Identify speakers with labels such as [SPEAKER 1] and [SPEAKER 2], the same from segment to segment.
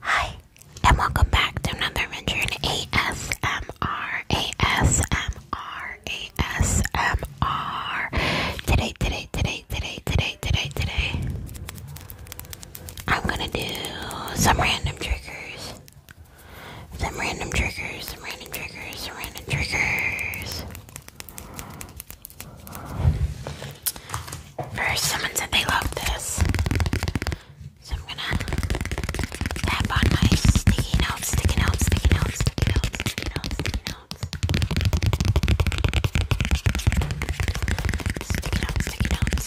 [SPEAKER 1] Hi, and welcome back to another adventure ASMR, ASMR, ASMR. Today, today, today, today, today, today, today, I'm gonna do some random triggers. Some random triggers, some random triggers, some random triggers. First, someone said they love this. So I'm gonna tap on my sticky notes, sticky notes, sticky notes, sticky notes, sticky notes. Sticky notes, sticky notes.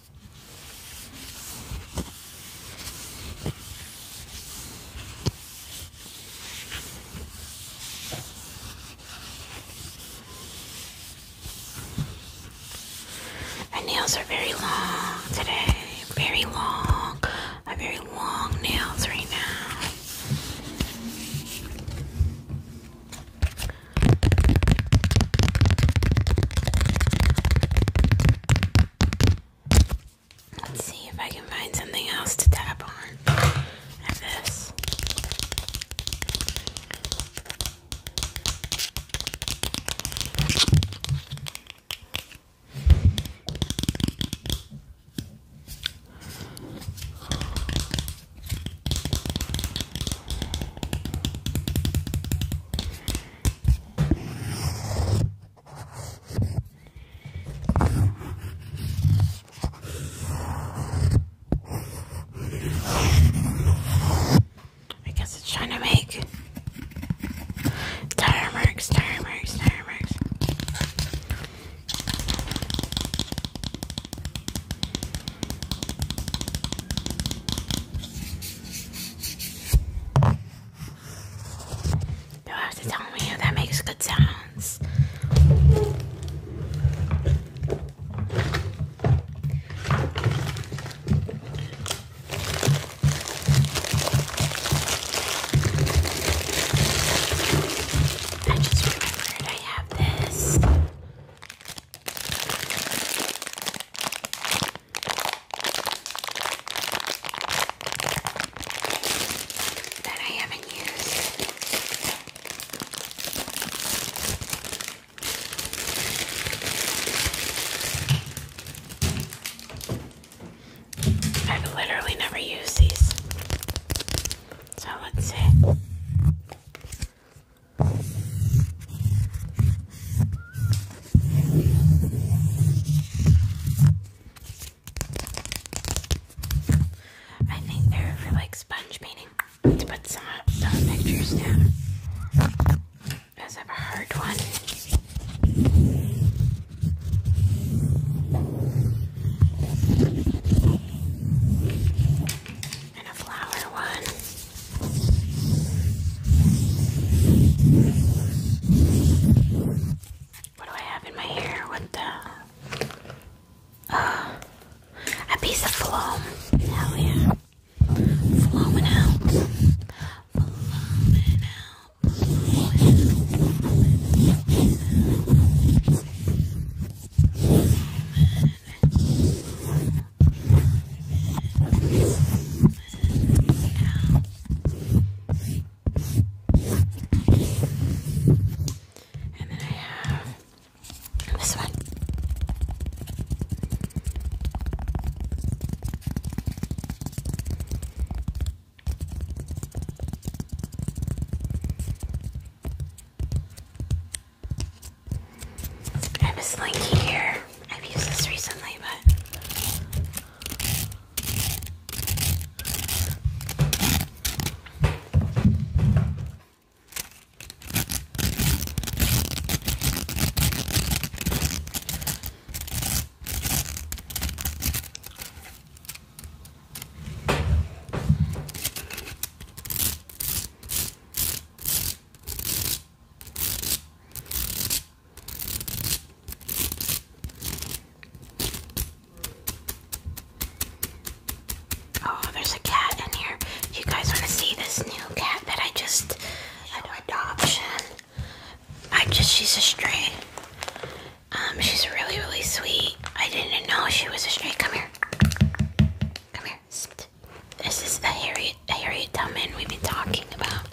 [SPEAKER 1] My nails are very long today. Very long. I very long nails right now. Let's see if I can find something else to tap on at this. I guess it's trying to make tire marks, tire marks, tire marks you have to tell me that makes good sounds. I just remembered I have this that I haven't used. I've literally never used these. So let's see. I think they're for like sponge painting to put some, some pictures down. Because I a hard one and a flower one. What do I have in my hair? What the? Uh, a piece of foam. Hell yeah. Flowing out. Flowing out. And then I have this one. I And a slinky here. I've used this recently, but. Oh, there's a cat in here. You guys want to see this new cat that I just, an adoption. I just, she's a stray. Um, she's really, really sweet. I didn't know she was a stray. Come here. Come here. This is the Harriet, Harriet Tubman we've been talking about.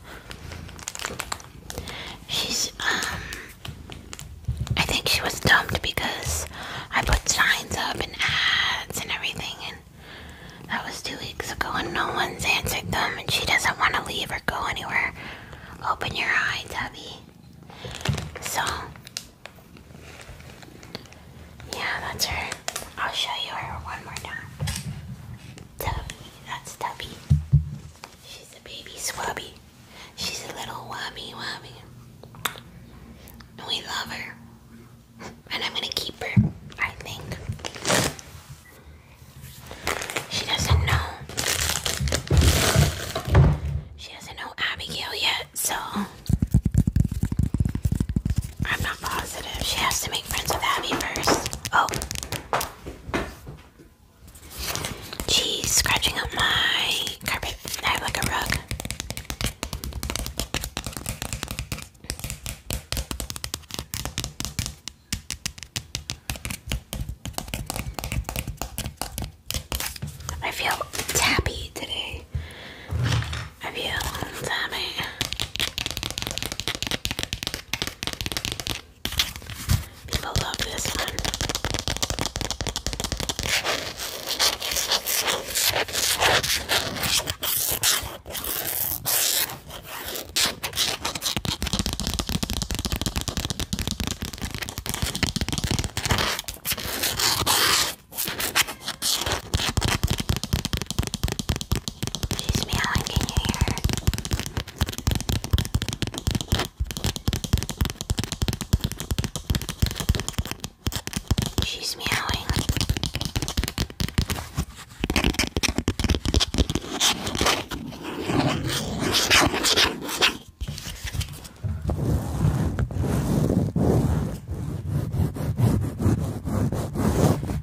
[SPEAKER 1] She's, um, I think she was dumped because I put signs up and ads and everything, and that was two weeks ago, and no one's answered them, and she doesn't want to leave or go anywhere. Open your eye, Tubby. So, yeah, that's her. I'll show you her one more time. Tubby, that's Tubby. She's a baby swabby. She's a little wobby wobby. we love her. And I'm gonna keep her, I think. She doesn't know. She doesn't know Abigail yet, so I'm not positive. She has to make friends with Abby first. Oh. She's scratching up my carpet. I have like a rug. I feel tappy today. I feel tappy. People love this one. She's meowing, can you hear her? She's meowing.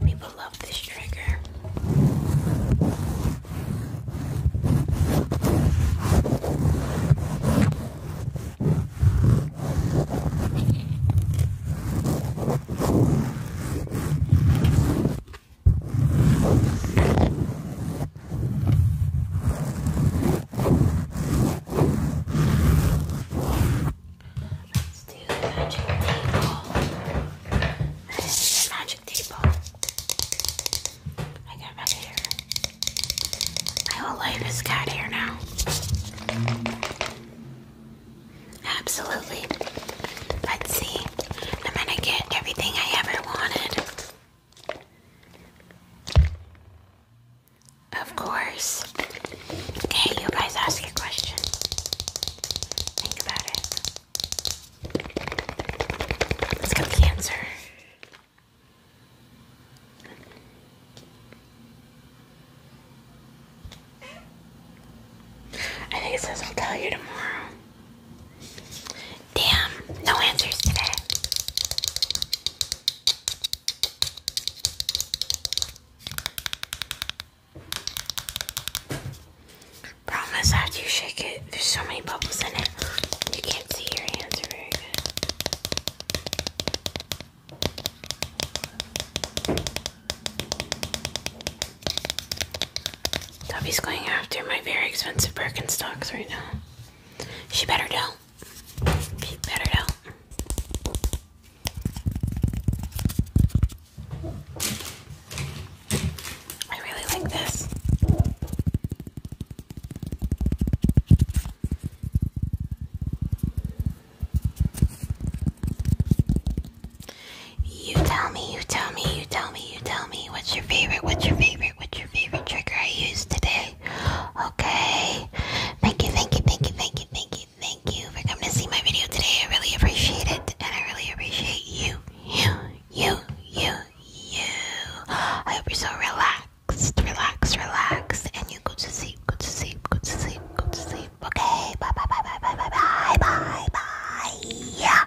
[SPEAKER 1] People love this trigger. Let's do the magic table. That is the magic table. I got red hair. My whole life has got hair now. Absolutely. Let's see. I'm gonna get everything I ever wanted. Of course. Okay, you guys ask your questions. Think about it. Let's get the answer. I think it says I'll tell you tomorrow. Damn, no answers today. Problem is you shake it, there's so many bubbles in it, you can't see your hands very good. Tubby's going after my very expensive Birkenstocks right now. She better do She better do I really like this. You tell me, you tell me, you tell me, you tell me. What's your favorite? What's your favorite? What's your favorite trigger I used today? Okay. Thank you, thank you, thank you, thank you, thank you, thank you for coming to see my video today. I really appreciate it, and I really appreciate you, you, you, you, you. I hope you're so relaxed, relaxed, relaxed, and you go to sleep, go to sleep, go to sleep, go to sleep. Okay. Bye, bye, bye, bye, bye, bye, bye, bye, bye. Yeah.